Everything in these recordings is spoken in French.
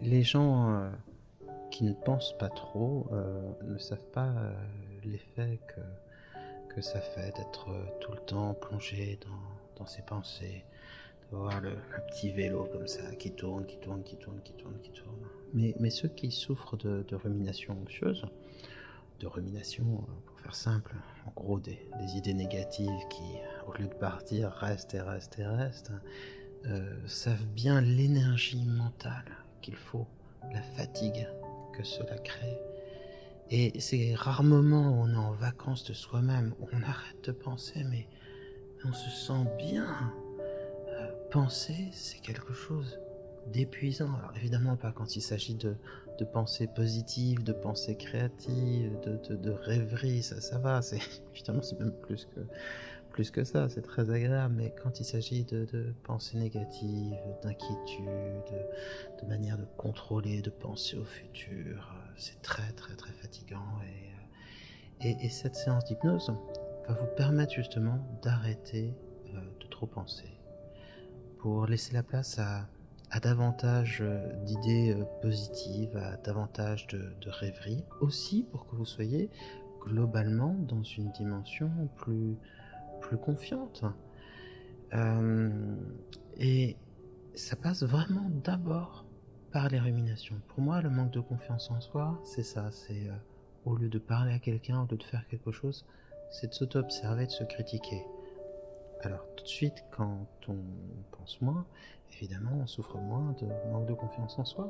Les gens euh, qui ne pensent pas trop euh, ne savent pas euh, l'effet que, que, ça fait d'être tout le temps plongé dans, ses pensées, de voir le, petit vélo comme ça qui tourne, qui tourne, qui tourne, qui tourne, qui tourne. Mais, ceux qui souffrent de, de rumination anxieuse de rumination, hein, pour faire simple. En gros, des, idées négatives qui, au lieu de partir, restent et restent et restent, euh, savent bien l'énergie mentale qu'il faut, la fatigue que cela crée. Et c'est rarement moments où on est en vacances de soi-même, où on arrête de penser, mais on se sent bien. Euh, penser, quelque chose d'épuisant. évidemment pas quand il s'agit de, de pensée positive, de pensées créatives de, de, rêverie, ça, ça va, c'est c'est même plus que, plus que ça, c'est très agréable, mais quand il s'agit de, de pensée négative, d'inquiétude, de manière de contrôler, de penser au futur, c'est très très très fatigant et, euh, et cette séance d'hypnose va vous permettre justement d'arrêter euh, de trop penser pour laisser la place à, davantage d'idées euh, positives, à davantage de, rêveries, aussi pour que vous soyez globalement dans une dimension plus, plus confiante. Euh, et ça passe vraiment d'abord par les ruminations. Pour moi, le manque de confiance en soi, c'est ça, c'est euh, au lieu de parler à quelqu'un, au lieu de faire quelque chose, c'est de s'auto-observer, de se critiquer. Alors tout de suite, quand on pense moins, évidemment, on souffre moins de manque de confiance en soi.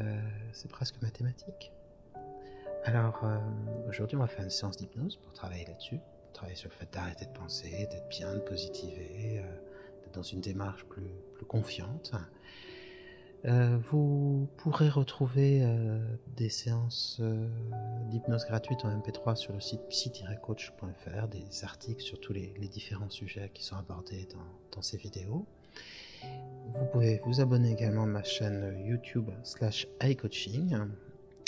Euh, c'est presque mathématique. Alors euh, aujourd'hui, on va faire une séance d'hypnose pour travailler là-dessus, travailler sur le fait d'arrêter de penser, d'être bien, de positiver, euh, d'être dans une démarche plus, plus confiante. vous vous pourrez retrouver euh, des séances euh, d'hypnose gratuite en MP3 sur le site psy-coach.fr, des articles sur tous les, différents sujets qui sont abordés dans, ces vidéos. Vous pouvez vous abonner également à ma chaîne YouTube slash iCoaching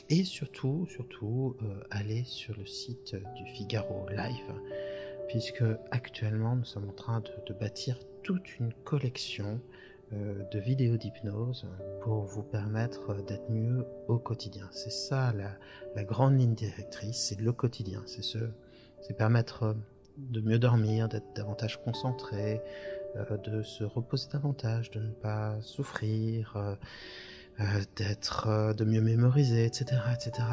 et surtout, surtout, euh, aller sur le site du Figaro Live puisque actuellement nous sommes en train de bâtir toute une collection euh, de vidéos d'hypnose pour vous permettre d'être mieux au quotidien. C'est ça la, grande ligne directrice, c'est le quotidien, c'est permettre de mieux dormir, d'être davantage concentré, euh, de se reposer davantage, de ne pas souffrir, euh, d'être, de mieux mémoriser, etc.,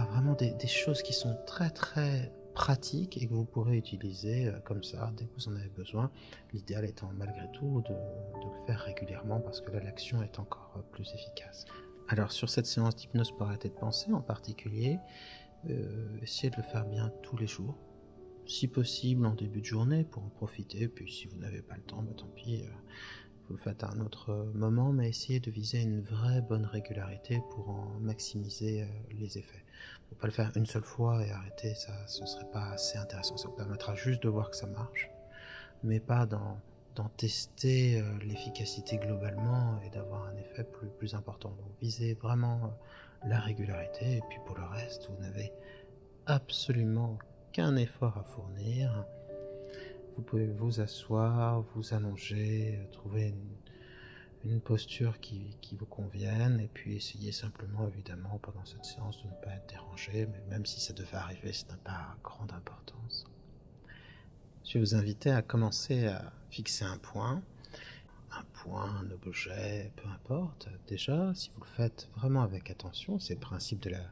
Vraiment des, choses qui sont très très pratiques et que vous pourrez utiliser comme ça dès que vous en avez besoin L'idéal étant malgré tout de, le faire régulièrement parce que là l'action est encore euh, plus efficace. Alors sur cette séance d'hypnose pour arrêter de penser en particulier, euh, essayez de le faire bien tous les jours, si possible en début de journée pour en profiter, puis si vous n'avez pas le temps, bah, tant pis, euh, vous le faites à un autre moment, mais essayez de viser une vraie bonne régularité pour en maximiser les effets. Faut pas le faire une seule fois et arrêter, ça, ce serait pas assez intéressant. Ça vous permettra juste de voir que ça marche, mais pas d'en, tester euh, l'efficacité globalement et d'avoir un effet plus, important. Donc visez vraiment euh, la régularité et puis pour le reste, vous n'avez absolument qu'un effort à fournir. Vous pouvez vous asseoir, vous allonger, euh, trouver une posture qui, qui, vous conviennent, et puis essayez simplement, évidemment, pendant cette séance de ne pas être dérangé, mais même si ça devait arriver, ce n'a pas grande importance. Je vais vous inviter à commencer à fixer un point, un point, un objet, peu importe. Déjà, si vous le faites vraiment avec attention, c'est le principe de la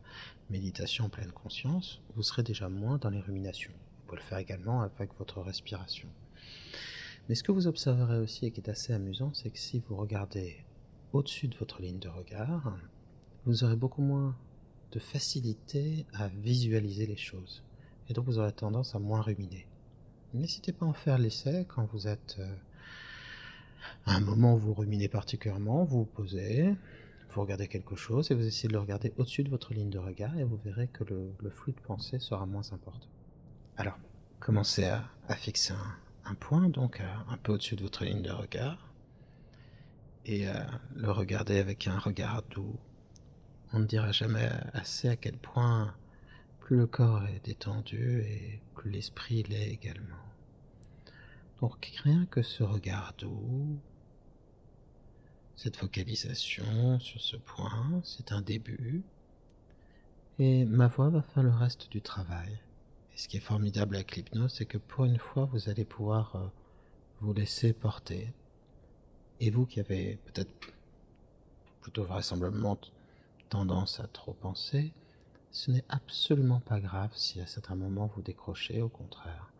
méditation en pleine conscience, vous serez déjà moins dans les ruminations. Vous pouvez le faire également avec votre respiration. Mais ce que vous observerez aussi et qui est assez amusant, c'est que si vous regardez au-dessus de votre ligne de regard, vous aurez beaucoup moins de facilité à visualiser les choses. Et donc vous aurez tendance à moins ruminer. N'hésitez pas à en faire l'essai quand vous êtes euh, à un moment où vous ruminez particulièrement, vous vous posez, vous regardez quelque chose et vous essayez de le regarder au-dessus de votre ligne de regard et vous verrez que le, flux de pensée sera moins important. Alors, commencez à, fixer un, point, donc euh, un peu au-dessus de votre ligne de regard, et à euh, le regarder avec un regard doux. On ne dira jamais assez à quel point plus le corps est détendu et plus l'esprit l'est également. Donc rien que ce regard doux, cette focalisation sur ce point, c'est un début, et ma voix va faire le reste du travail. Et ce qui est formidable avec l'hypnose, c'est que pour une fois, vous allez pouvoir euh, vous laisser porter. Et vous qui avez peut-être plutôt vraisemblablement tendance à trop penser, ce n'est absolument pas grave si à certains moments vous décrochez, au contraire.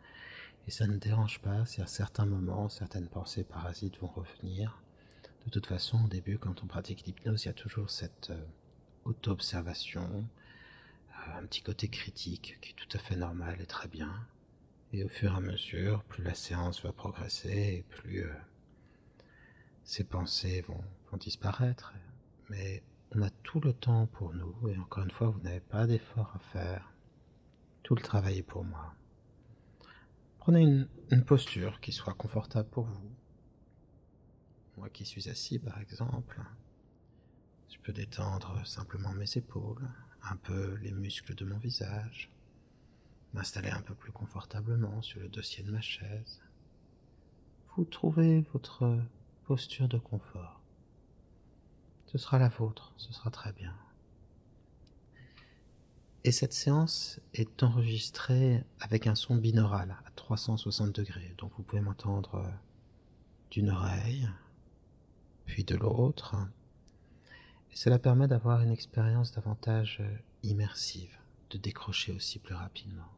Et ça ne dérange pas si à certains moments certaines pensées parasites vont revenir. De toute façon, au début, quand on pratique l'hypnose, il y a toujours cette euh, auto-observation, euh, un petit côté critique qui est tout à fait normal et très bien. Et au fur et à mesure, plus la séance va progresser, et plus euh, ces pensées vont, disparaître. Mais on a tout le temps pour nous, et encore une fois, vous n'avez pas d'effort à faire. Tout le travail est pour moi. Prenez une posture qui soit confortable pour vous. Moi qui suis assis par exemple, je peux détendre simplement mes épaules, un peu les muscles de mon visage, m'installer un peu plus confortablement sur le dossier de ma chaise. Vous trouvez votre posture de confort. Ce sera la vôtre, ce sera très bien. Et cette séance est enregistré avec un son binaural à 360 degrés. Donc vous pouvez m'entendre euh, d'une oreille, puis de l'autre. Et cela permet d'avoir une expérience davantage euh, immersive, de décrocher aussi plus rapidement.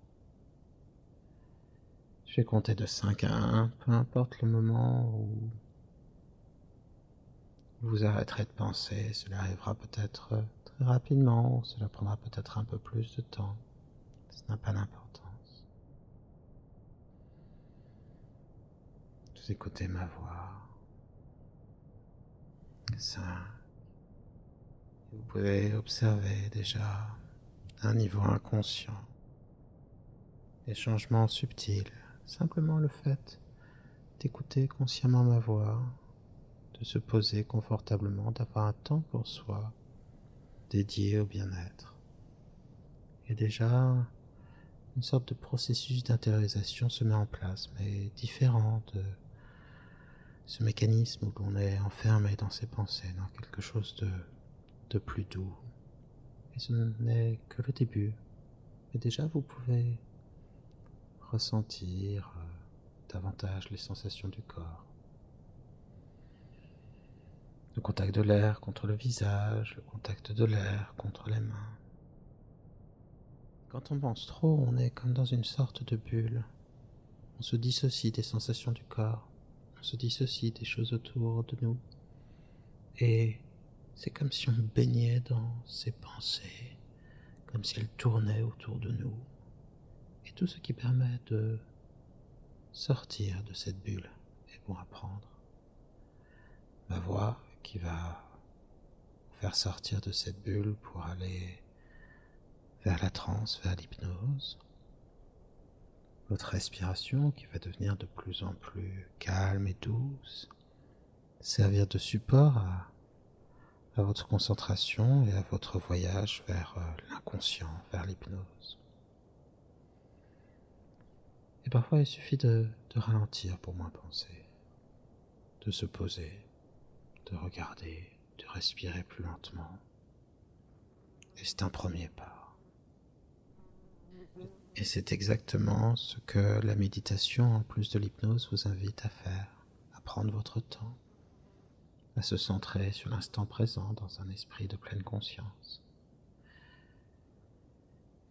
Je vais compter de 5 à 1, peu importe le moment où vous arrêterez de penser, cela arrivera peut-être euh, très rapidement, cela prendra peut-être un peu plus de temps ce n'a pas d'importance. Vous écoutez ma voix. Ça. Vous pouvez observer déjà un niveau inconscient des changements subtils, simplement le fait d'écouter consciemment ma voix de se poser confortablement, d'avoir un temps pour soi dédié au bien-être. Et déjà, une sorte de processus d'intériorisation se met en place, mais différent de ce mécanisme où l'on est enfermé dans ses pensées, dans quelque chose de, de plus doux. Et ce n'est que le début. Mais déjà, vous pouvez ressentir euh, davantage les sensations du corps. Le contact de l'air contre le visage, le contact de l'air contre les mains. Quand on pense trop, on est comme dans une sorte de bulle. On se dissocie des sensations du corps, on se dissocie des choses autour de nous. Et c'est comme si on baignait dans ces pensées, comme si elles tournaient autour de nous. Et tout ce qui permet de sortir de cette bulle et pour apprendre. Ma voix qui va faire sortir de cette bulle pour aller vers la transe, vers l'hypnose. Votre respiration qui va devenir de plus en plus calme et douce, servir de support à à votre concentration et à votre voyage vers euh, l'inconscient, vers l'hypnose. Et parfois, il suffit de, ralentir pour moins penser, de se poser, de regarder, de respirer plus lentement. Et c'est un premier pas. Et c'est exactement ce que la méditation, en plus de l'hypnose, vous invite à faire, à prendre votre temps, à se centrer sur l'instant présent dans un esprit de pleine conscience.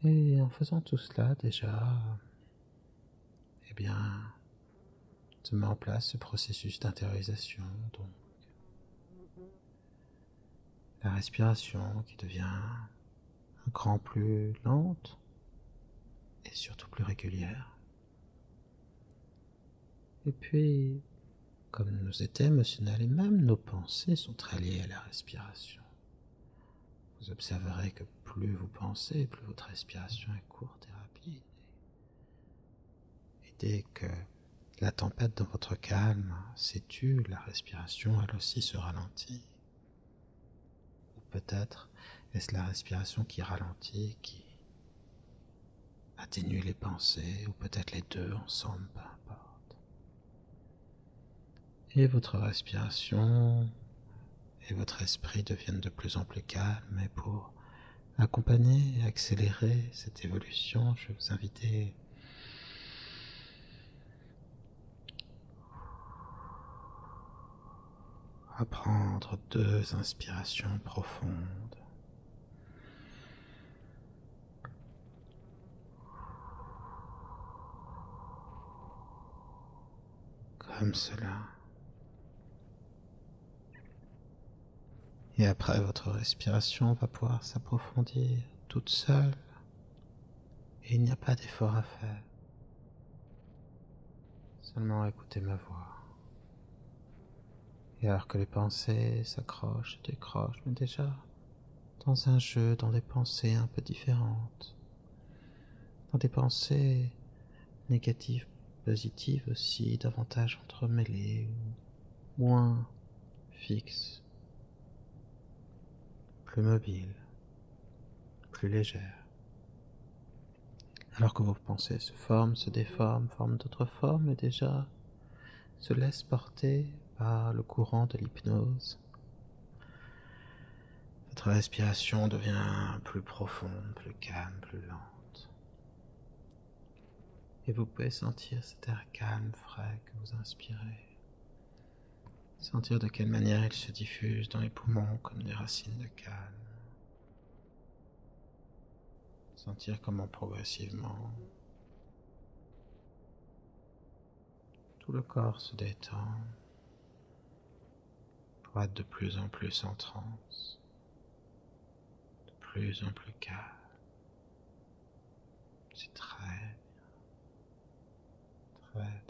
Et en faisant tout cela déjà, eh bien, se met en place ce processus d'intériorisation, donc la respiration qui devient un cran plus lente et surtout plus régulière. Et puis, comme nous étions émotionnels et même nos pensées sont très liées à la respiration. Vous observerez que plus vous pensez, plus votre respiration est courte et rapide. Et dès que la tempête dans votre calme s'étue, la respiration elle aussi se ralentit. Ou peut-être est-ce la respiration qui ralentit, qui Atténuez les pensées, ou peut-être les deux ensemble, peu importe. Et votre respiration et votre esprit deviennent de plus en plus calmes. Et pour accompagner et accélérer cette évolution, je vais vous inviter à prendre deux inspirations profondes. Comme cela. Et après, votre respiration va pouvoir s'approfondir toute seule. Et il n'y a pas d'effort à faire. Seulement écoutez ma voix. Et alors que les pensées s'accrochent, décrochent, mais déjà dans un jeu, dans des pensées un peu différentes, dans des pensées négatives, positives aussi, davantage entremêlées ou moins fixes, plus mobiles, plus légères. Alors que vos pensées se forment, se déforment, forment d'autres formes, et déjà se laisse porter par le courant de l'hypnose. Votre respiration devient plus profonde, plus calme, plus lente. Et vous pouvez sentir cet air calme, frais que vous inspirez. Sentir de quelle manière il se diffuse dans les poumons comme des racines de calme. Sentir comment progressivement tout le corps se détend pour de plus en plus en transe, de plus en plus calme. C'est très bien, très très bien.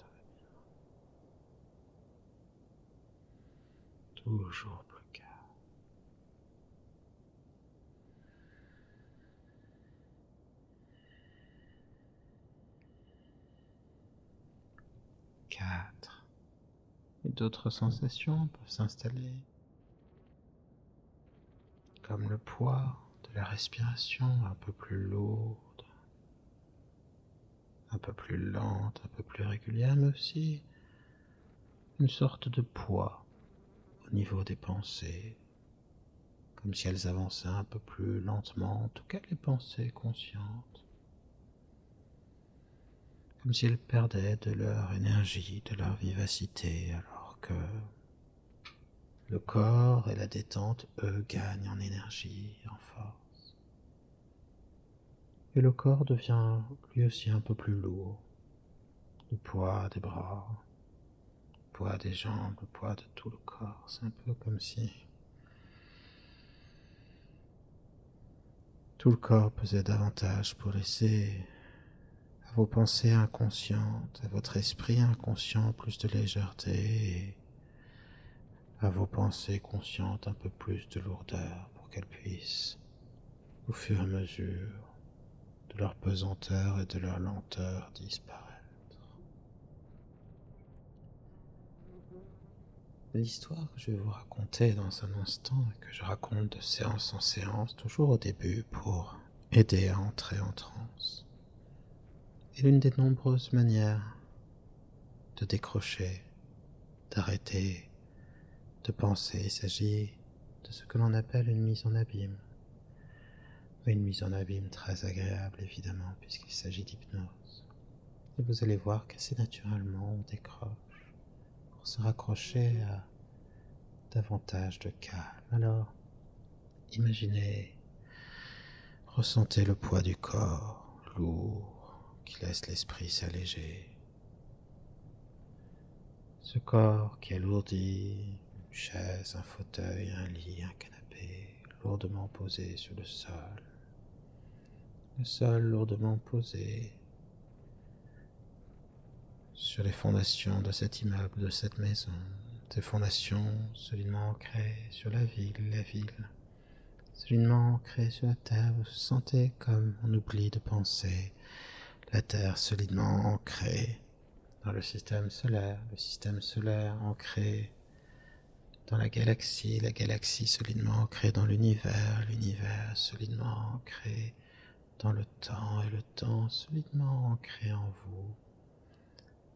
Toujours plus calme. Quatre. Et d'autres sensations peuvent s'installer, comme le poids de la respiration un peu plus lourde, un peu plus lente, un peu plus régulière, mais aussi une sorte de poids au niveau des pensées, comme si elles avançaient un peu plus lentement, en tout cas les pensées conscientes, comme si elles perdaient de leur énergie, de leur vivacité, alors que le corps et la détente, eux, gagnent en énergie, en force. Et le corps devient lui aussi un peu plus lourd, le poids des bras, le poids des jambes, le poids de tout le corps. C'est un peu comme si tout le corps pesait davantage pour laisser à vos pensées inconscientes, à votre esprit inconscient plus de légèreté à vos pensées conscientes un peu plus de lourdeur pour qu'elles puissent au fur et à mesure de leur pesanteur et de leur lenteur disparaître. L'histoire que je vais vous raconter dans un instant et que je raconte de séance en séance, toujours au début pour aider à entrer en transe, est l'une des nombreuses manières de décrocher, d'arrêter de penser. Il s'agit de ce que l'on appelle une mise en abîme. Une mise en abîme très agréable, évidemment, puisqu'il s'agit d'hypnose. Et vous allez voir qu'assez naturellement, on décroche pour se raccrocher à davantage de calme. Alors, imaginez, ressentez le poids du corps lourd qui laisse l'esprit s'alléger. Ce corps qui est lourdi, une chaise, un fauteuil, un lit, un canapé, lourdement posé sur le sol. Le sol lourdement posé sur les fondations de cet immeuble, de cette maison, ces fondations solidement ancrées sur la ville, la ville, solidement ancrées sur la terre, vous vous sentez comme on oublie de penser, la Terre solidement ancrée dans le système solaire, le système solaire ancré dans la galaxie, la galaxie solidement ancrée dans l'univers, l'univers solidement ancré dans le temps et le temps solidement ancré en vous,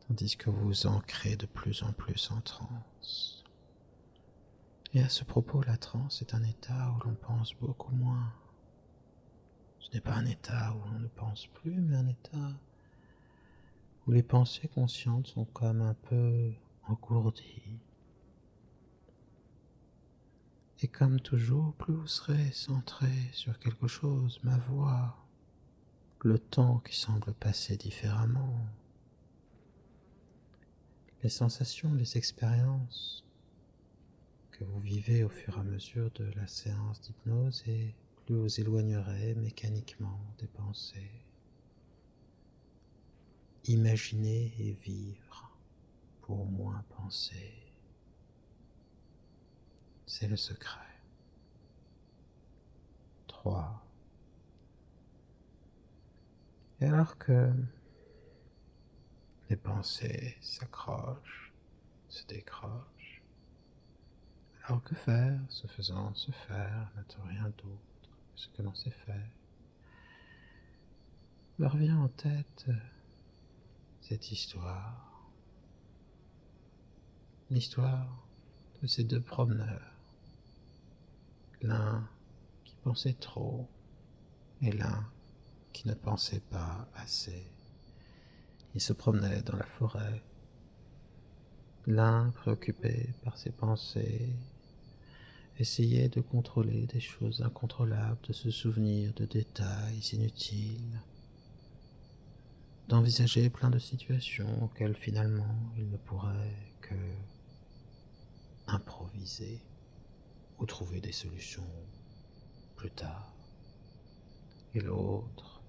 tandis que vous vous ancrez de plus en plus en transe. Et à ce propos, la transe est un état où l'on pense beaucoup moins ce n'est pas un état où on ne pense plus, mais un état où les pensées conscientes sont comme un peu engourdies. Et comme toujours, plus vous serez centré sur quelque chose, ma voix, le temps qui semble passer différemment, les sensations, les expériences, que vous vivez au fur et à mesure de la séance d'hypnose et plus vous éloignerez mécaniquement des pensées. imaginez et vivre pour moins penser. C'est le secret. 3. Et alors que les pensées s'accrochent, se décrochent. Alors que faire Se faisant se faire, n'a rien d'autre que ce que l'on sait faire. me revient en tête cette histoire. L'histoire de ces deux promeneurs. L'un qui pensait trop et l'un qui ne pensait pas assez. Il se promenait dans la forêt, l'un préoccupé par ses pensées, essayait de contrôler des choses incontrôlables, de se souvenir de détails inutiles, d'envisager plein de situations auxquelles finalement il ne pourrait que improviser ou trouver des solutions plus tard. Et l'autre,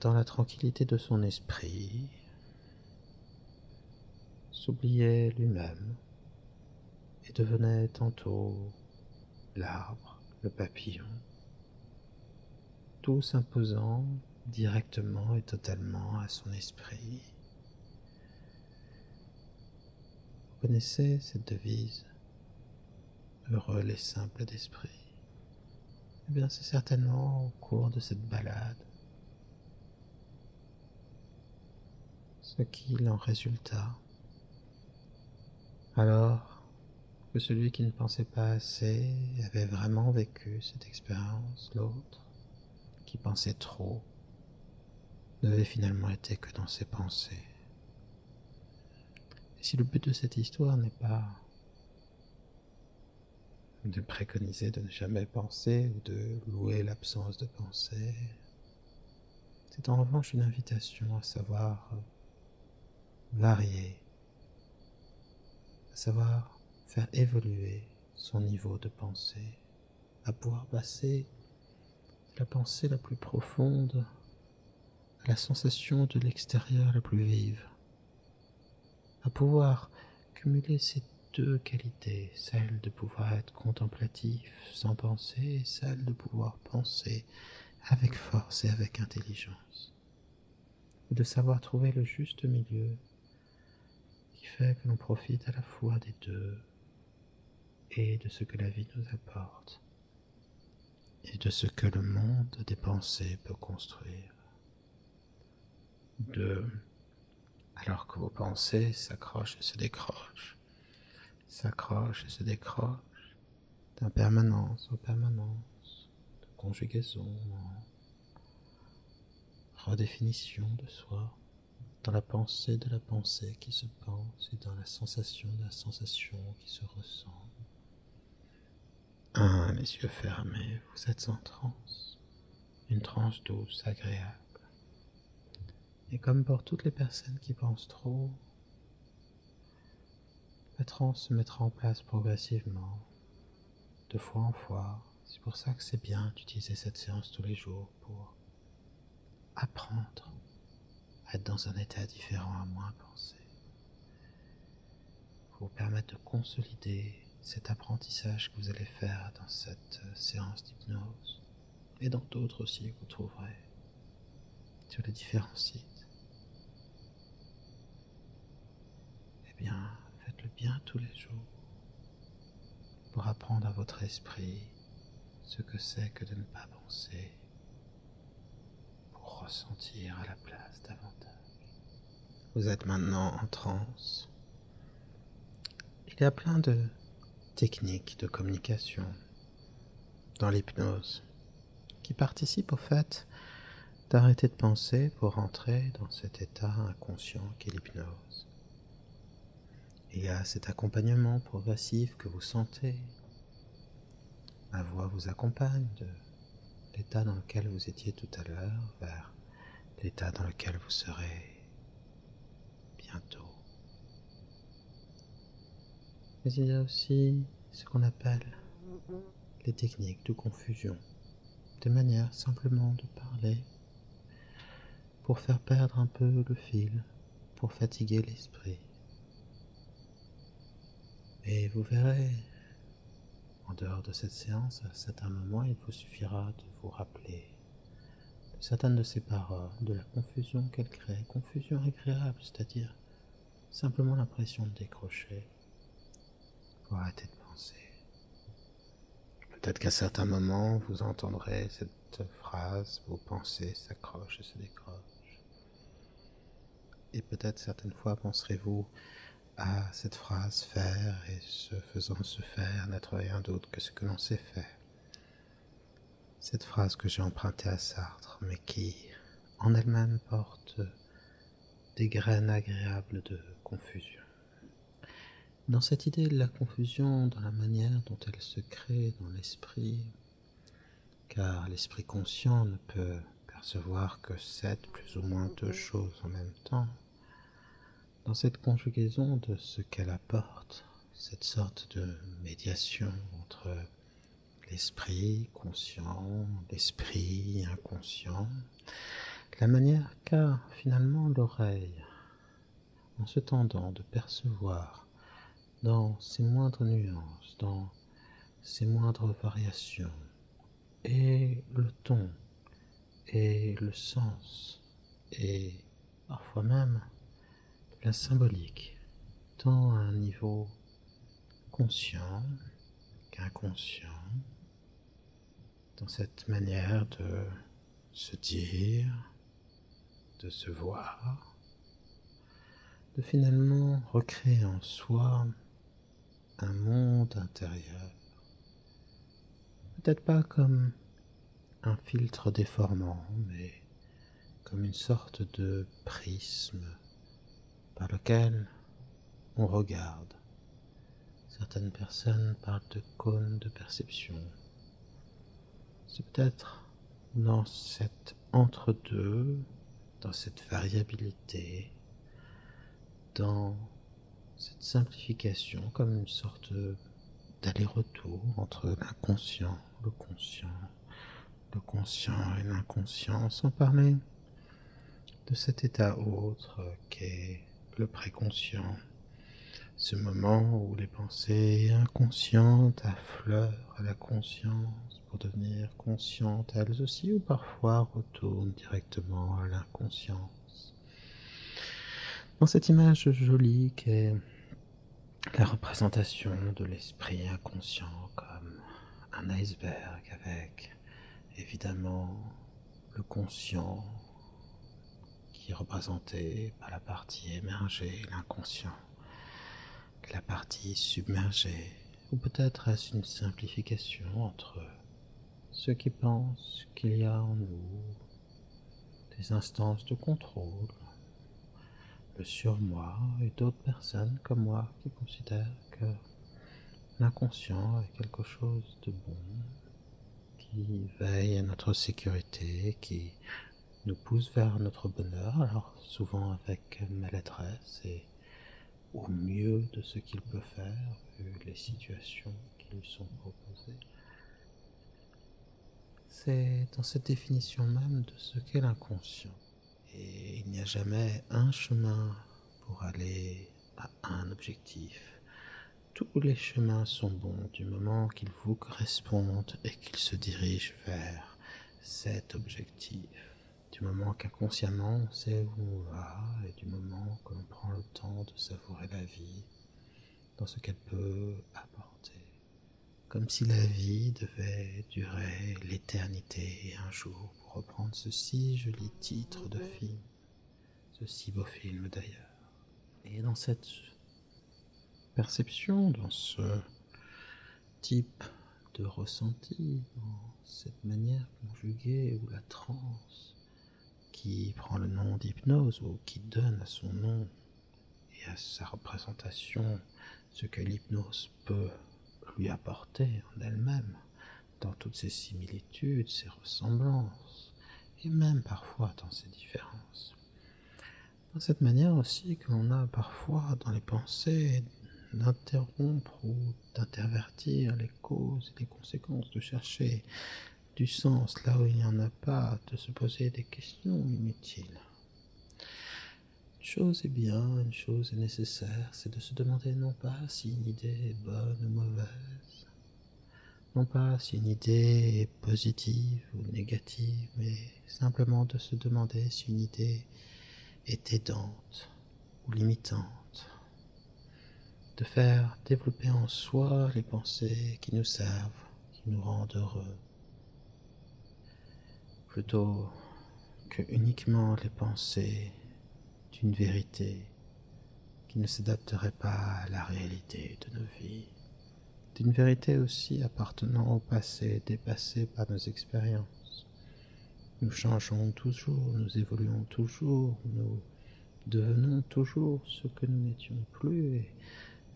dans la tranquillité de son esprit, s'oubliait lui-même et devenait tantôt l'arbre, le papillon, tout s'imposant directement et totalement à son esprit, vous connaissez cette devise Heureux les simples d'esprit. Eh bien, c'est certainement au cours de cette balade ce qui en résulta. Alors que celui qui ne pensait pas assez avait vraiment vécu cette expérience, l'autre qui pensait trop n'avait finalement été que dans ses pensées. Et si le but de cette histoire n'est pas de préconiser de ne jamais penser ou de louer l'absence de pensée, c'est en revanche une invitation à savoir varier, à savoir faire évoluer son niveau de pensée à pouvoir passer la pensée la plus profonde à la sensation de l'extérieur la plus vive, à pouvoir cumuler ces deux qualités, celle de pouvoir être contemplatif sans penser, et celle de pouvoir penser avec force et avec intelligence, de savoir trouver le juste milieu qui fait que l'on profite à la fois des deux et de ce que la vie nous apporte et de ce que le monde des pensées peut construire. de Alors que vos pensées s'accrochent et se décrochent, s'accrochent et se décrochent d'impermanence en permanence, de conjugaison redéfinition de soi, dans la pensée de la pensée qui se pense et dans la sensation de la sensation qui se ressent. Ah, les yeux fermés, vous êtes en transe, une transe douce, agréable. Et comme pour toutes les personnes qui pensent trop, la transe se mettra en place progressivement, de fois en fois. C'est pour ça que c'est bien d'utiliser cette séance tous les jours pour apprendre à être dans un état différent, à moins penser, pour vous permettre de consolider cet apprentissage que vous allez faire dans cette euh, séance d'hypnose et dans d'autres aussi que vous trouverez sur les différents sites. Eh bien, faites-le bien tous les jours pour apprendre à votre esprit ce que c'est que de ne pas penser pour ressentir à la place davantage. Vous êtes maintenant en transe. Il y a plein de techniques de communication dans l'hypnose qui participent au fait d'arrêter de penser pour rentrer dans cet état inconscient qu'est l'hypnose il y a cet accompagnement progressif que vous sentez. Ma voix vous accompagne de l'état dans lequel vous étiez tout à l'heure vers l'état dans lequel vous serez bientôt. Mais il y a aussi ce qu'on appelle les techniques de confusion, de manière simplement de parler pour faire perdre un peu le fil pour fatiguer l'esprit. Et vous verrez, en dehors de cette séance, à certains moments, il vous suffira de vous rappeler de certaines de ces paroles, de la confusion qu'elles créent, confusion agréable, c'est-à-dire simplement l'impression de décrocher pour arrêter de penser. Peut-être qu'à certains moments, vous entendrez cette phrase, vos pensées s'accrochent et se décrochent. Et peut-être certaines fois penserez-vous à cette phrase faire et se faisant se faire n'être rien d'autre que ce que l'on sait faire. Cette phrase que j'ai empruntée à Sartre, mais qui en elle-même porte des graines agréables de confusion. Dans cette idée de la confusion, dans la manière dont elle se crée dans l'esprit, car l'esprit conscient ne peut percevoir que sept plus ou moins deux choses en même temps. Dans cette conjugaison de ce qu'elle apporte, cette sorte de médiation entre l'esprit conscient, l'esprit inconscient, la manière qu'a finalement l'oreille en se tendant de percevoir dans ses moindres nuances, dans ses moindres variations, et le ton, et le sens, et parfois même la symbolique, tant à un niveau conscient qu'inconscient, dans cette manière de se dire, de se voir, de finalement recréer en soi un monde intérieur. Peut-être pas comme un filtre déformant, mais comme une sorte de prisme par lequel on regarde. Certaines personnes parlent de cônes de perception, c'est peut-être dans cet entre-deux, dans cette variabilité, dans cette simplification comme une sorte d'aller-retour entre l'inconscient, le conscient, le conscient et l'inconscient, sans parler de cet état autre qu'est le préconscient, ce moment où les pensées inconscientes affleurent à la conscience pour devenir conscientes elles aussi, ou parfois retournent directement à l'inconscience. Dans cette image jolie qui est la représentation de l'esprit inconscient comme un iceberg avec évidemment le conscient qui est représenté par la partie émergée, l'inconscient que la partie submergée, ou peut-être est-ce une simplification entre ceux qui pensent qu'il y a en nous des instances de contrôle, le surmoi et d'autres personnes comme moi qui considèrent que l'inconscient est quelque chose de bon, qui veille à notre sécurité, qui nous pousse vers notre bonheur, alors souvent avec maladresse et au mieux de ce qu'il peut faire, vu les situations qui lui sont proposées. C'est dans cette définition même de ce qu'est l'inconscient. Et il n'y a jamais un chemin pour aller à un objectif. Tous les chemins sont bons du moment qu'ils vous correspondent et qu'ils se dirigent vers cet objectif. Du moment qu'inconsciemment on sait où on va et du moment qu'on prend le temps de savourer la vie dans ce qu'elle peut apporter. Comme si la vie devait durer l'éternité un jour, pour reprendre ce si joli titre de film, ce si beau film d'ailleurs. Et dans cette perception, dans ce type de ressenti, dans cette manière conjuguée ou la transe qui prend le nom d'hypnose ou qui donne à son nom et à sa représentation ce que l'hypnose peut lui apporter en elle-même dans toutes ses similitudes, ses ressemblances et même parfois dans ses différences. Dans cette manière aussi que l'on a parfois dans les pensées d'interrompre ou d'intervertir les causes et les conséquences, de chercher du sens là où il n'y en a pas, de se poser des questions inutiles. Une chose est bien, une chose est nécessaire, c'est de se demander non pas si une idée est bonne ou mauvaise, non pas si une idée est positive ou négative, simplement de se demander si une idée est aidante ou limitante, de faire développer en soi les pensées qui nous servent, qui nous rendent heureux, plutôt que uniquement les pensées d'une vérité qui ne s'adapterait pas à la réalité de nos vies, d'une vérité aussi appartenant au passé, dépassé par nos expériences. Nous changeons toujours, nous évoluons toujours, nous devenons toujours ce que nous n'étions plus et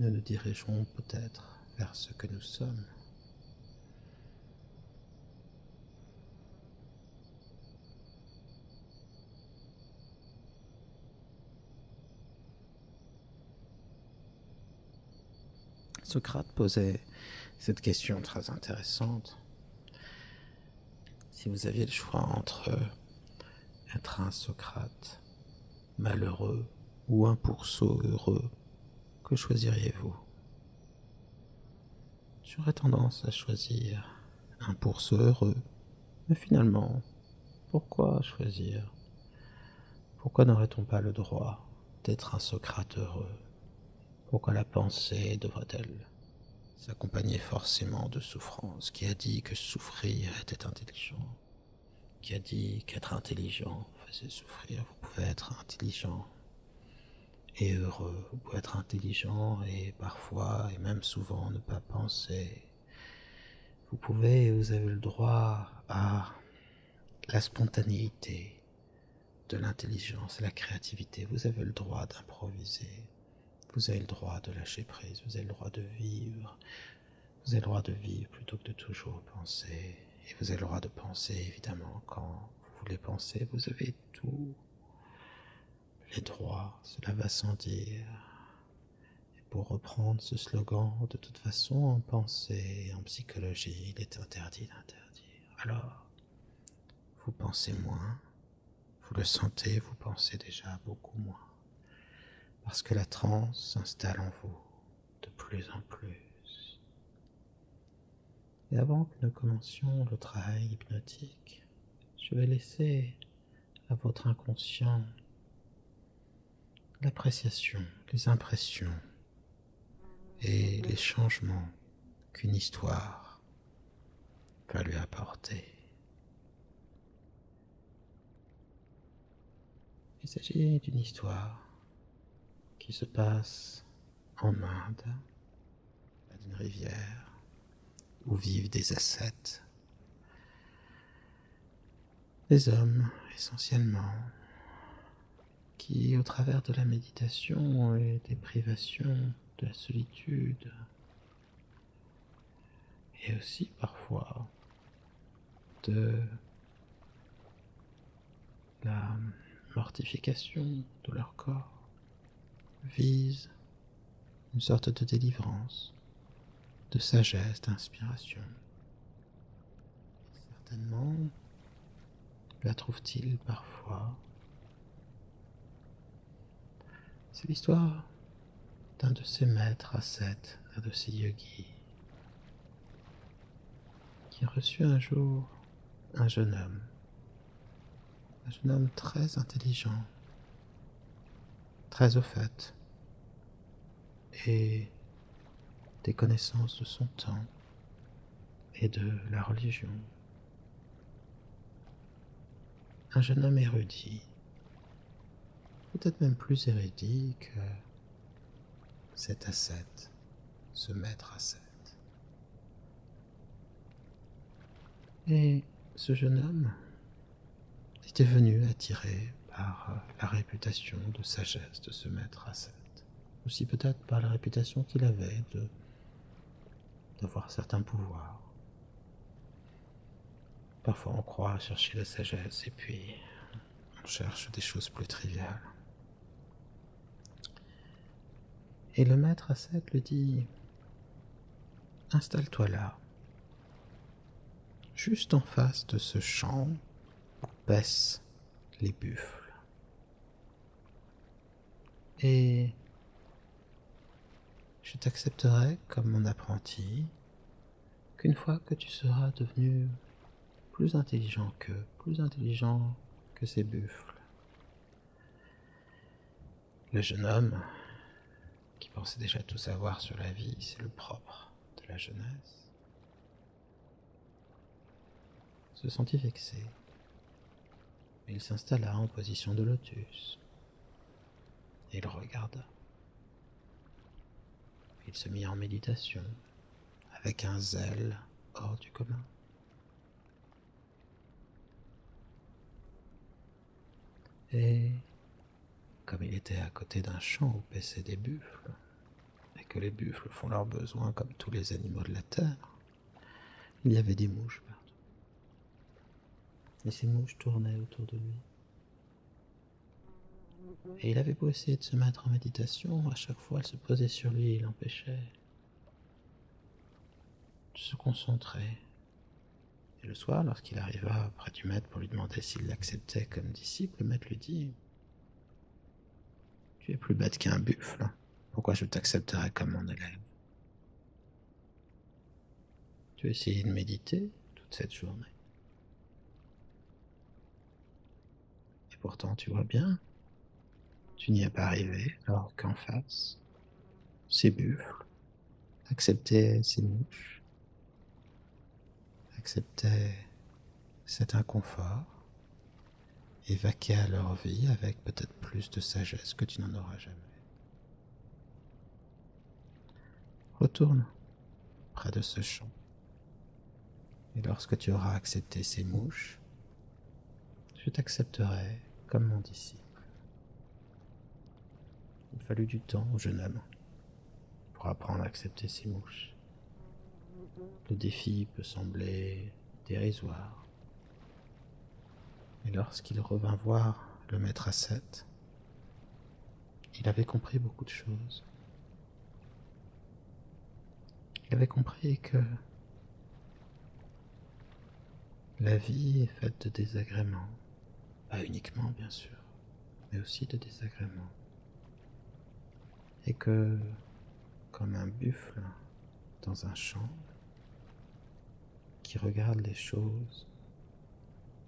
nous nous dirigeons peut-être vers ce que nous sommes. Socrate posait cette question très intéressante. Si vous aviez le choix entre être un Socrate malheureux ou un pourceau heureux, que choisiriez-vous J'aurais tendance à choisir un pourceau heureux. Mais finalement, pourquoi choisir pourquoi n'aurait-on pas le droit d'être un Socrate heureux Pourquoi la pensée devrait-elle s'accompagner forcément de souffrance Qui a dit que souffrir était intelligent Qui a dit qu'être intelligent faisait souffrir Vous pouvez être intelligent et heureux. Vous pouvez être intelligent et parfois et même souvent ne pas penser. Vous pouvez et vous avez le droit à la spontanéité, de l'intelligence la créativité. Vous avez le droit d'improviser. Vous avez le droit de lâcher prise. Vous avez le droit de vivre. Vous avez le droit de vivre plutôt que de toujours penser. Et vous avez le droit de penser, évidemment, quand vous voulez penser. Vous avez tous les droits. Cela va sans dire. Et pour reprendre ce slogan, de toute façon, en pensée, en psychologie, il est interdit d'interdire. Alors, vous pensez moins, vous le sentez, vous pensez déjà beaucoup moins. Parce que la transe s'installe en vous de plus en plus. Et avant que nous commencions le travail hypnotique, je vais laisser à votre inconscient l'appréciation, les impressions et les changements qu'une histoire va lui apporter. Il s'agit d'une histoire qui se passe en Inde, à une rivière où vivent des ascètes, des hommes essentiellement qui, au travers de la méditation et des privations, de la solitude, et aussi parfois de la mortification de leur corps, vise une sorte de délivrance, de sagesse, d'inspiration, Certainement la trouve-t-il parfois. C'est l'histoire d'un de ses maîtres à sept, de ses yogis, qui a reçut un jour un jeune homme, un jeune homme très intelligent, très au fait, et des connaissances de son temps et de la religion. Un jeune homme érudit, peut-être même plus érudit que cet ascète, ce maître ascète. Et ce jeune homme était venu attiré par la réputation de sagesse de ce maître ascète aussi peut-être par la réputation qu'il avait d'avoir certains pouvoirs. Parfois on croit à chercher la sagesse et puis on cherche des choses plus triviales. Et le maître à sept lui dit Installe-toi là, juste en face de ce champ où paissent les buffles. Et je t'accepterai comme mon apprenti qu'une fois que tu seras devenu plus intelligent qu'eux, plus intelligent que ces buffles. Le jeune homme, qui pensait déjà tout savoir sur la vie, c'est le propre de la jeunesse, se sentit vexé. Il s'installa en position de lotus. Il regarda. Il se mit en méditation avec un zèle hors du commun. Et comme il était à côté d'un champ où paissaient des buffles, et que les buffles font leurs besoins comme tous les animaux de la terre, il y avait des mouches partout. Et ces mouches tournaient autour de lui. Et il avait beau essayer de se mettre en méditation, à chaque fois elles se posaient sur lui et l'empêchaient de se concentrer. Et le soir, lorsqu'il arriva auprès du maître pour lui demander s'il l'acceptait comme disciple, le maître lui dit Tu es plus bête qu'un buffle. Pourquoi je t'accepterais comme mon élève Tu as essayé de méditer toute cette journée. Et pourtant, tu vois bien, tu n'y es pas arrivé, alors qu'en face, c'est buffles accepter ces mouches, accepter cet inconfort, et à leur vie avec peut-être plus de sagesse que tu n'en auras jamais. Retourne près de ce champ. Et lorsque tu auras accepté ces mouches, je t'accepterai comme mon disciple. Il fallut du temps au jeune homme pour apprendre à accepter ces mouches. Le défi peut sembler dérisoire. Et lorsqu'il revint voir le maître à sept, il avait compris beaucoup de choses. Il avait compris que la vie est faite de désagréments, pas uniquement bien sûr, mais aussi de désagréments et que, comme un buffle dans un champ, qui regarde les choses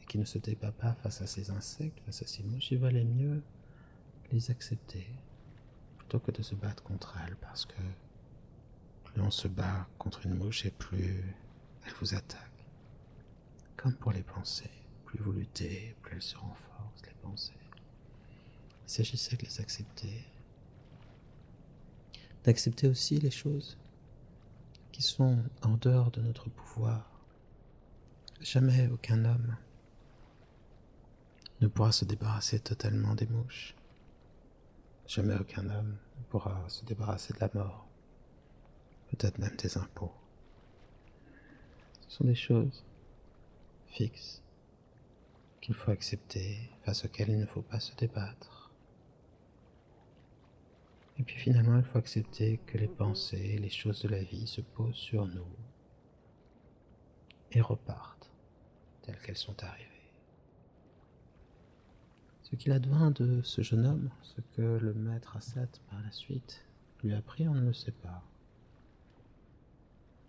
et qui ne se débat pas face à ces insectes, face à ces mouches, il valait mieux les accepter plutôt que de se battre contre elles parce que plus on se bat contre une mouche et plus elle vous attaque. Comme pour les pensées, plus vous luttez, plus elles se renforcent, les pensées. Il s'agissait de les accepter d'accepter aussi les choses qui sont en dehors de notre pouvoir. Jamais aucun homme ne pourra se débarrasser totalement des mouches. Jamais aucun homme ne pourra se débarrasser de la mort, peut-être même des impôts. Ce sont des choses fixes qu'il faut accepter, face auquel il ne faut pas se débattre. Et puis finalement, il faut accepter que les pensées, les choses de la vie se posent sur nous et repartent telles qu'elles sont arrivées. Ce qu'il advint de ce jeune homme, ce que le maître Assad par la suite lui a apprit, on ne le sait pas.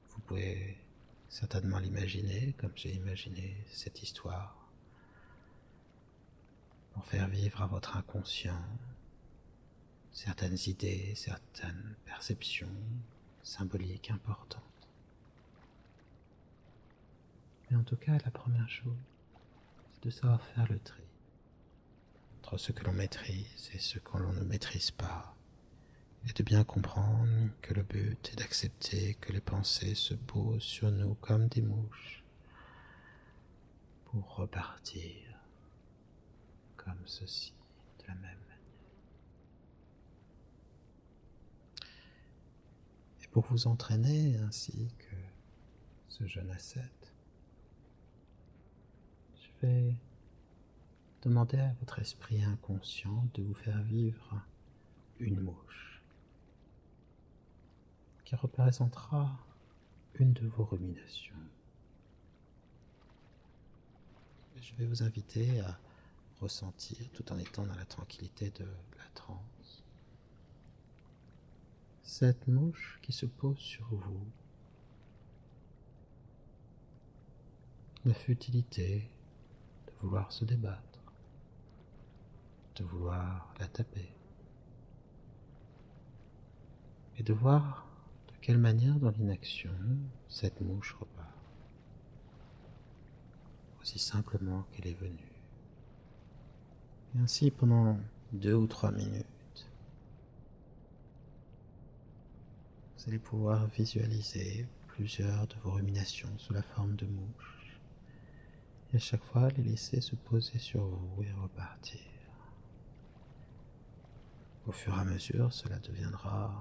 Vous pouvez certainement l'imaginer, comme j'ai imaginé cette histoire, pour faire vivre à votre inconscient certaines idées, certaines perceptions symboliques importantes. Mais en tout cas, la première chose, c'est de savoir faire le tri entre ce que l'on maîtrise et ce que l'on ne maîtrise pas, et de bien comprendre que le but est d'accepter que les pensées se posent sur nous comme des mouches pour repartir comme ceci de la même manière. Et pour vous entraîner ainsi que ce jeune ascète, je vais Demandez à votre esprit inconscient de vous faire vivre une mouche qui représentera une de vos ruminations. Je vais vous inviter à ressentir tout en étant dans la tranquillité de la transe. Cette mouche qui se pose sur vous la futilité de vouloir se débattre, de vouloir la taper, et de voir de quelle manière dans l'inaction cette mouche repart, aussi simplement qu'elle est venue. Et ainsi pendant deux ou trois minutes, vous allez pouvoir visualiser plusieurs de vos ruminations sous la forme de mouches. Et à chaque fois, les laisser se poser sur vous et repartir. Au fur et à mesure, cela deviendra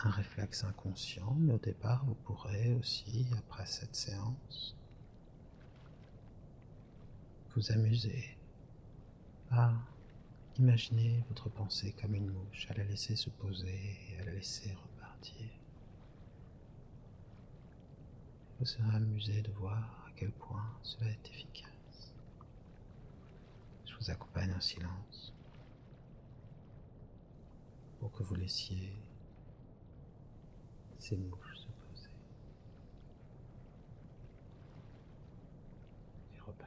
un réflexe inconscient, mais au départ, vous pourrez aussi, après cette séance, vous amuser à imaginer votre pensée comme une mouche, à la laisser se poser et à la laisser repartir. Vous serez amusé de voir à quel point cela est efficace. Je vous accompagne en silence pour que vous laissiez ces mouches se poser et repartir.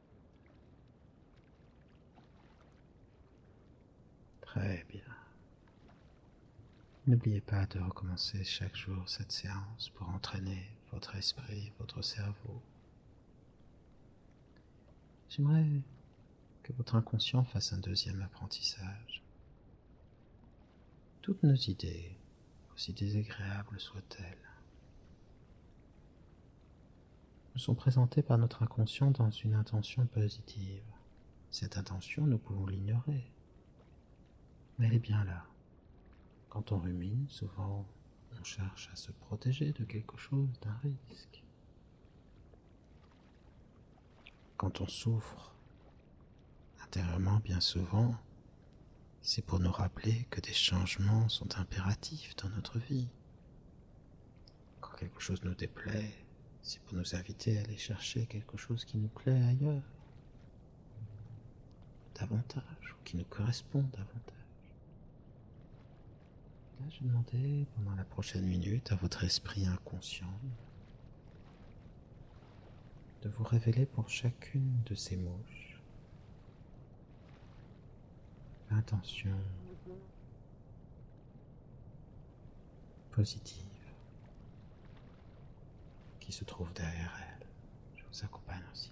Très bien. N'oubliez pas de recommencer chaque jour cette séance pour entraîner votre esprit, votre cerveau. J'aimerais que votre inconscient fasse un deuxième apprentissage. Toutes nos idées, aussi désagréables soient-elles, nous sont présentés par notre inconscient dans une intention positive. Cette intention, nous pouvons l'ignorer. Mais elle est bien là. Quand on rumine, souvent, on cherche à se protéger de quelque chose, d'un risque. Quand on souffre, intérieurement, bien souvent, c'est pour nous rappeler que des changements sont impératifs dans notre vie. Quand quelque chose nous déplaît, c'est pour nous inviter à aller chercher quelque chose qui nous plaît ailleurs, davantage, ou qui nous correspond davantage. Là, je demandais pendant la prochaine minute à votre esprit inconscient de vous révéler pour chacune de ces mouches Attention positive qui se trouve derrière elle. Je vous accompagne aussi.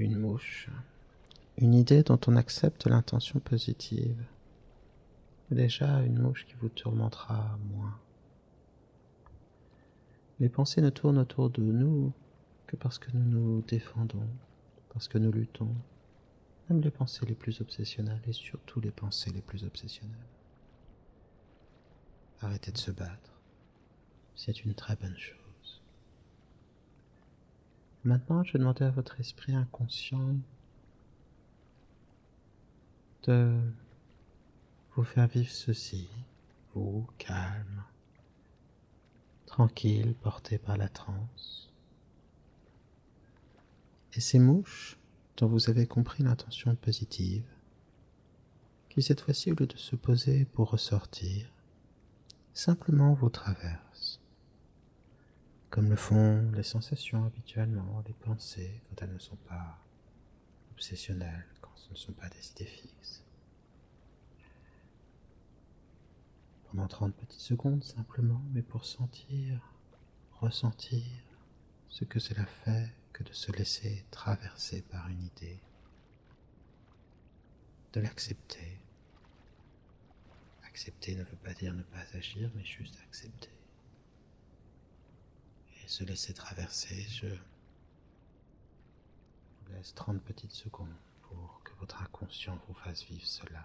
une mouche. Une idée dont on accepte l'intention positive. Déjà une mouche qui vous tourmentera moins. Les pensées ne tournent autour de nous que parce que nous nous défendons, parce que nous luttons, même les pensées les plus obsessionnelles et surtout les pensées les plus obsessionnelles. Arrêtez de se battre, c'est une très bonne chose. Maintenant, je vais demander à votre esprit inconscient de vous faire vivre ceci, vous, calme, tranquille, porté par la transe. Et ces mouches dont vous avez compris l'intention positive, qui cette fois-ci, au lieu de se poser pour ressortir, simplement vous traversent comme le font les sensations habituellement, les pensées quand elles ne sont pas obsessionnelles, quand ce ne sont pas des idées fixes. Pendant 30 petites secondes simplement, mais pour sentir, ressentir ce que cela fait que de se laisser traverser par une idée, de l'accepter Accepter ne veut pas dire ne pas agir, mais juste accepter. Et se laisser traverser, je vous laisse 30 petites secondes pour que votre inconscient vous fasse vivre cela.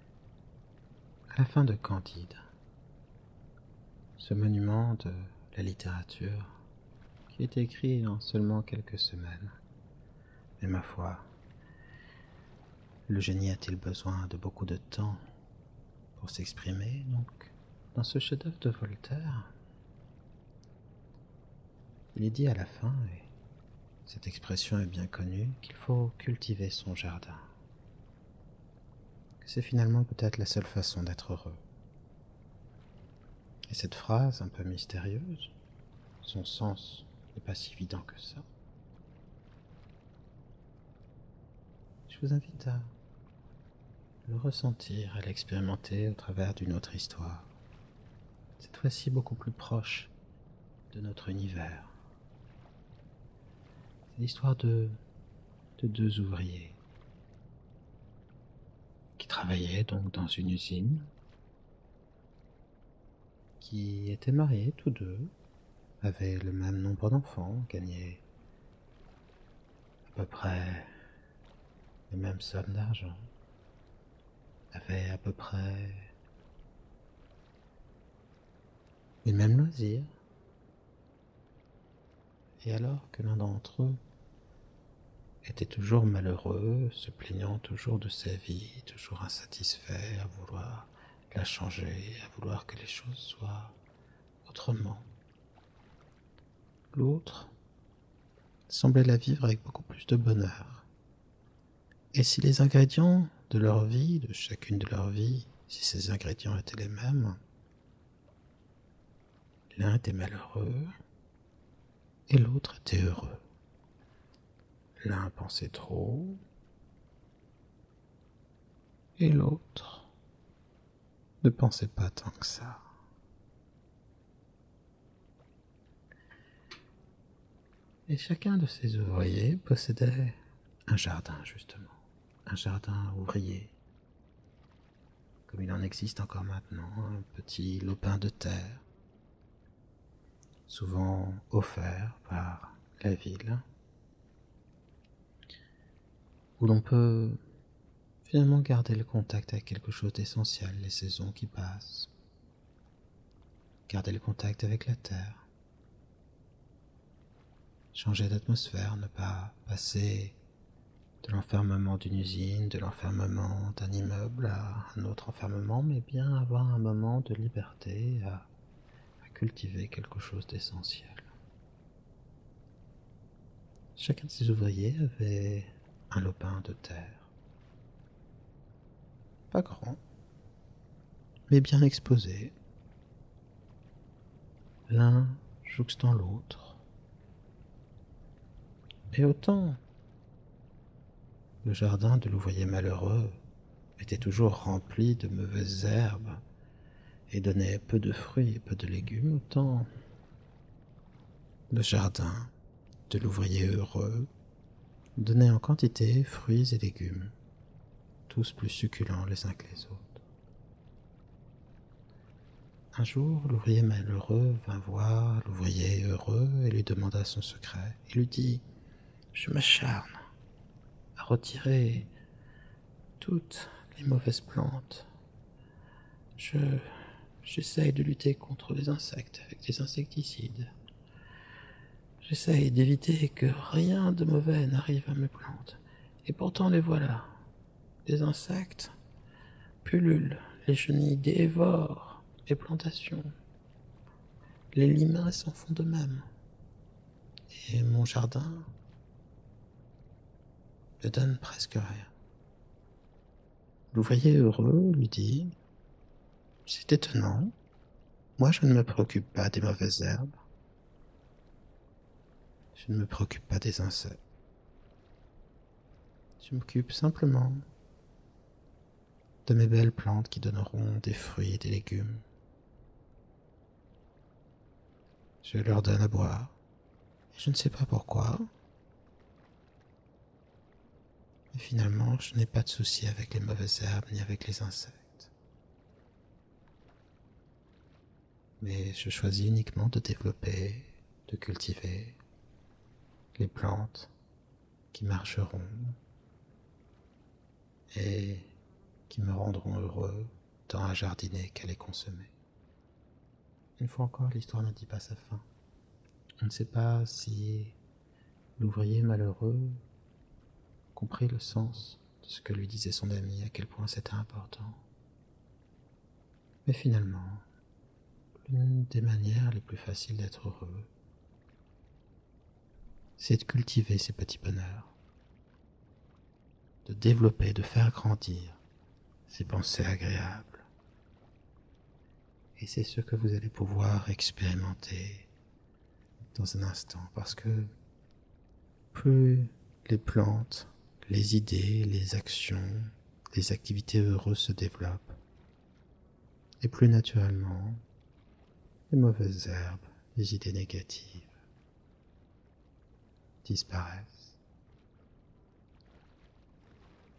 à la fin de Candide, ce monument de la littérature qui est écrit en seulement quelques semaines. Mais ma foi, le génie a-t-il besoin de beaucoup de temps pour s'exprimer donc dans ce chef-d'œuvre de Voltaire Il est dit à la fin, et cette expression est bien connue, qu'il faut cultiver son jardin que c'est finalement peut-être la seule façon d'être heureux. Et cette phrase un peu mystérieuse, son sens n'est pas si évident que ça. Je vous invite à le ressentir, à l'expérimenter au travers d'une autre histoire, cette fois-ci beaucoup plus proche de notre univers, c'est l'histoire de, deux ouvriers qui travaillaient donc dans une usine, qui étaient mariés tous deux, avaient le même nombre d'enfants, gagnaient à peu près les mêmes sommes d'argent, avaient à peu près les mêmes loisirs. Et alors que l'un d'entre eux était toujours malheureux, se plaignant toujours de sa vie, toujours insatisfait, à vouloir la changer, à vouloir que les choses soient autrement. L'autre semblait la vivre avec beaucoup plus de bonheur. Et si les ingrédients de leur vie, de chacune de leur vie, si ces ingrédients étaient les mêmes, l'un était malheureux et l'autre était heureux. L'un pensait trop et l'autre ne pensait pas tant que ça. Et chacun de ces ouvriers possédait un jardin, justement, un jardin ouvrier, comme il en existe encore maintenant, un petit lopin de terre, souvent offert par la ville, où l'on peut finalement garder le contact avec quelque chose d'essentiel, les saisons qui passent, garder le contact avec la terre. Changer d'atmosphère, ne pas passer de l'enfermement d'une usine, de l'enfermement d'un immeuble à un autre enfermement, mais bien avoir un moment de liberté à, cultiver quelque chose d'essentiel. Chacun de ces ouvriers avait un lopin de terre. Pas grand, mais bien exposé, l'un jouxtant l'autre. Et autant le jardin de l'ouvrier malheureux était toujours rempli de mauvaises herbes et donnait peu de fruits et peu de légumes, autant le jardin de l'ouvrier heureux donnait en quantité fruits et légumes tous plus succulents les uns que les autres. Un jour, l'ouvrier malheureux vint voir l'ouvrier heureux et lui demanda son secret. Il lui dit Je m'acharne à retirer toutes les mauvaises plantes. Je j'essaye de lutter contre les insectes avec des insecticides. J'essaye d'éviter que rien de mauvais n'arrive à mes plantes. Et pourtant les voilà. Des insectes pullulent, les chenilles dévorent les plantations. Les limaces s'en font de même. Et mon jardin ne donne presque rien. L'ouvrier heureux lui dit C'est étonnant. Moi, je ne me préoccupe pas des mauvaises herbes. Je ne me préoccupe pas des insectes. Je m'occupe simplement de mes belles plantes qui donneront des fruits et des légumes. Je leur donne à boire. Et je ne sais pas pourquoi. Mais finalement, je n'ai pas de souci avec les mauvaises herbes ni avec les insectes. Mais je choisis uniquement de développer, de cultiver les plantes qui marcheront et qui me rendront heureux dans un jardinet qu'elle est consommée. Une fois encore, l'histoire ne dit pas sa fin. On ne sait pas si l'ouvrier malheureux comprit le sens ce que lui disait son ami, à quel point c'était important. Mais finalement, l'une des manières les plus faciles d'être heureux, c'est de cultiver ces petits bonheurs, de développer, de faire grandir ces pensées agréables. Et c'est ce que vous allez pouvoir expérimenter dans un instant, parce que plus les plantes, les idées, les actions, les activités heureuses se développent, et plus naturellement, les mauvaises herbes, les idées négatives disparaissent.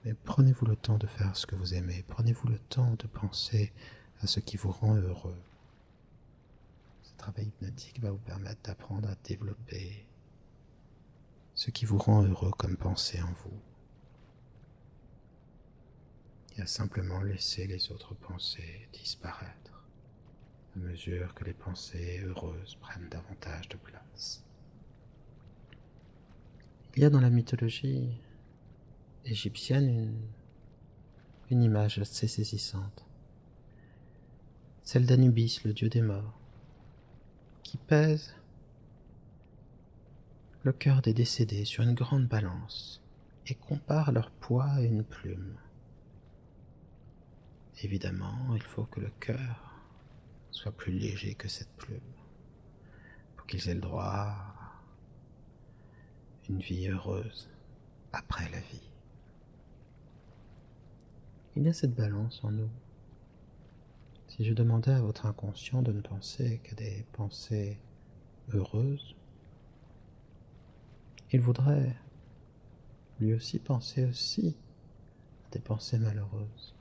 Mais prenez-vous le temps de faire ce que vous aimez, prenez-vous le temps de penser à ce qui vous rend heureux, ce travail hypnotique va vous permettre d'apprendre à développer ce qui vous rend heureux comme penser en vous et à simplement laisser les autres pensées disparaître à mesure que les pensées heureuses prennent davantage de place. Il y a dans la mythologie égyptienne une, une image assez saisissante celle d'Anubis, le dieu des morts, qui pèse le cœur des décédés sur une grande balance et compare leur poids à une plume. Évidemment, il faut que le cœur soit plus léger que cette plume pour qu'ils aient le droit à une vie heureuse, après la vie. Il y a cette balance en nous. Si je demandais à votre inconscient de ne penser qu'à des pensées heureuses, il voudrait lui aussi penser aussi à des pensées malheureuses.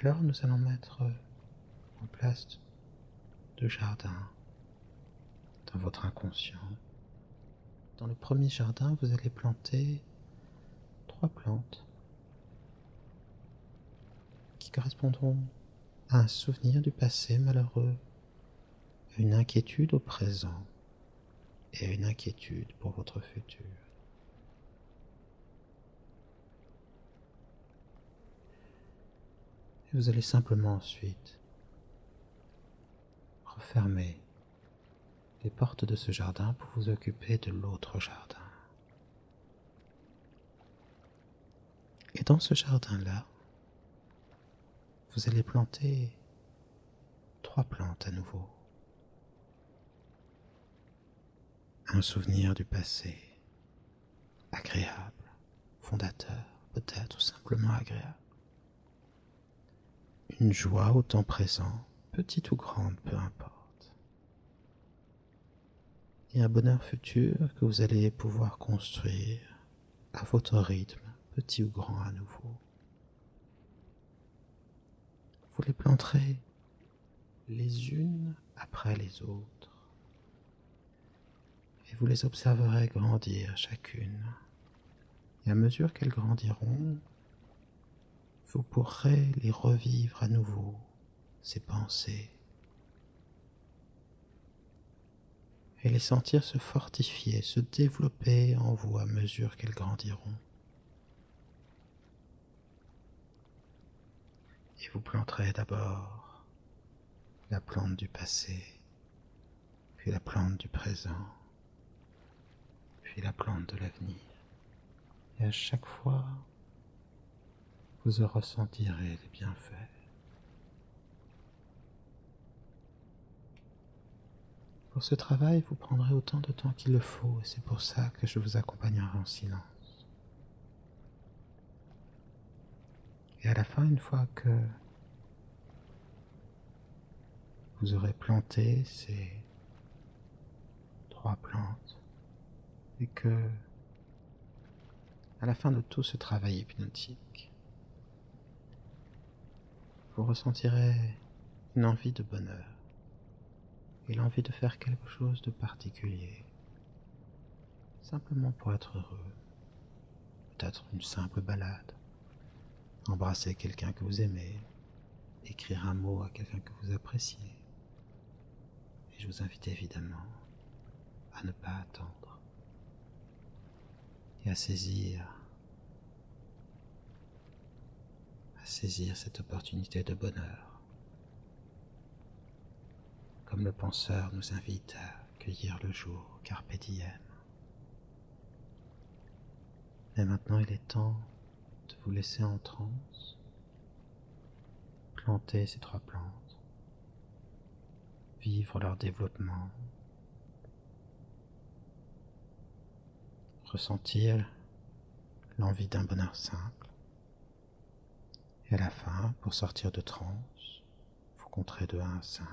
Alors nous allons mettre en place deux jardins dans votre inconscient. Dans le premier jardin, vous allez planter trois plantes qui correspondront à un souvenir du passé malheureux, une inquiétude au présent et une inquiétude pour votre futur. Et vous allez simplement ensuite Refermez les portes de ce jardin pour vous occuper de l'autre jardin. Et dans ce jardin-là, vous allez planter trois plantes à nouveau. Un souvenir du passé, agréable, fondateur, peut-être ou simplement agréable. Une joie au temps présent, petite ou grande, peu importe. Et un bonheur futur que vous allez pouvoir construire à votre rythme, petit ou grand à nouveau. Vous les planterez les unes après les autres et vous les observerez grandir chacune. Et à mesure qu'elles grandiront, vous pourrez les revivre à nouveau, ces pensées, et les sentir se fortifier, se développer en vous à mesure qu'elles grandiront. Et vous planterez d'abord la plante du passé, puis la plante du présent, puis la plante de l'avenir. Et à chaque fois, vous ressentirez les bienfaits. Pour ce travail, vous prendrez autant de temps qu'il le faut, et c'est pour ça que je vous accompagnerai en silence. Et à la fin, une fois que vous aurez planté ces trois plantes et que à la fin de tout ce travail hypnotique, vous ressentirez une envie de bonheur et l'envie de faire quelque chose de particulier, simplement pour être heureux, peut-être une simple balade, embrasser quelqu'un que vous aimez, écrire un mot à quelqu'un que vous appréciez. Et je vous invite évidemment à ne pas attendre et à saisir, à saisir cette opportunité de bonheur. Comme le penseur nous invite à cueillir le jour, Carpédienne. Mais maintenant, il est temps de vous laisser en transe. Planter ces trois plantes. Vivre leur développement. Ressentir l'envie d'un bonheur simple. Et à la fin, pour sortir de transe, vous compterez de 1 à 5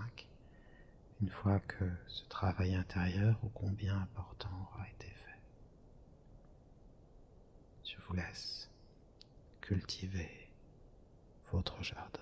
une fois que ce travail intérieur ou combien important aura été fait. Je vous laisse cultiver votre jardin.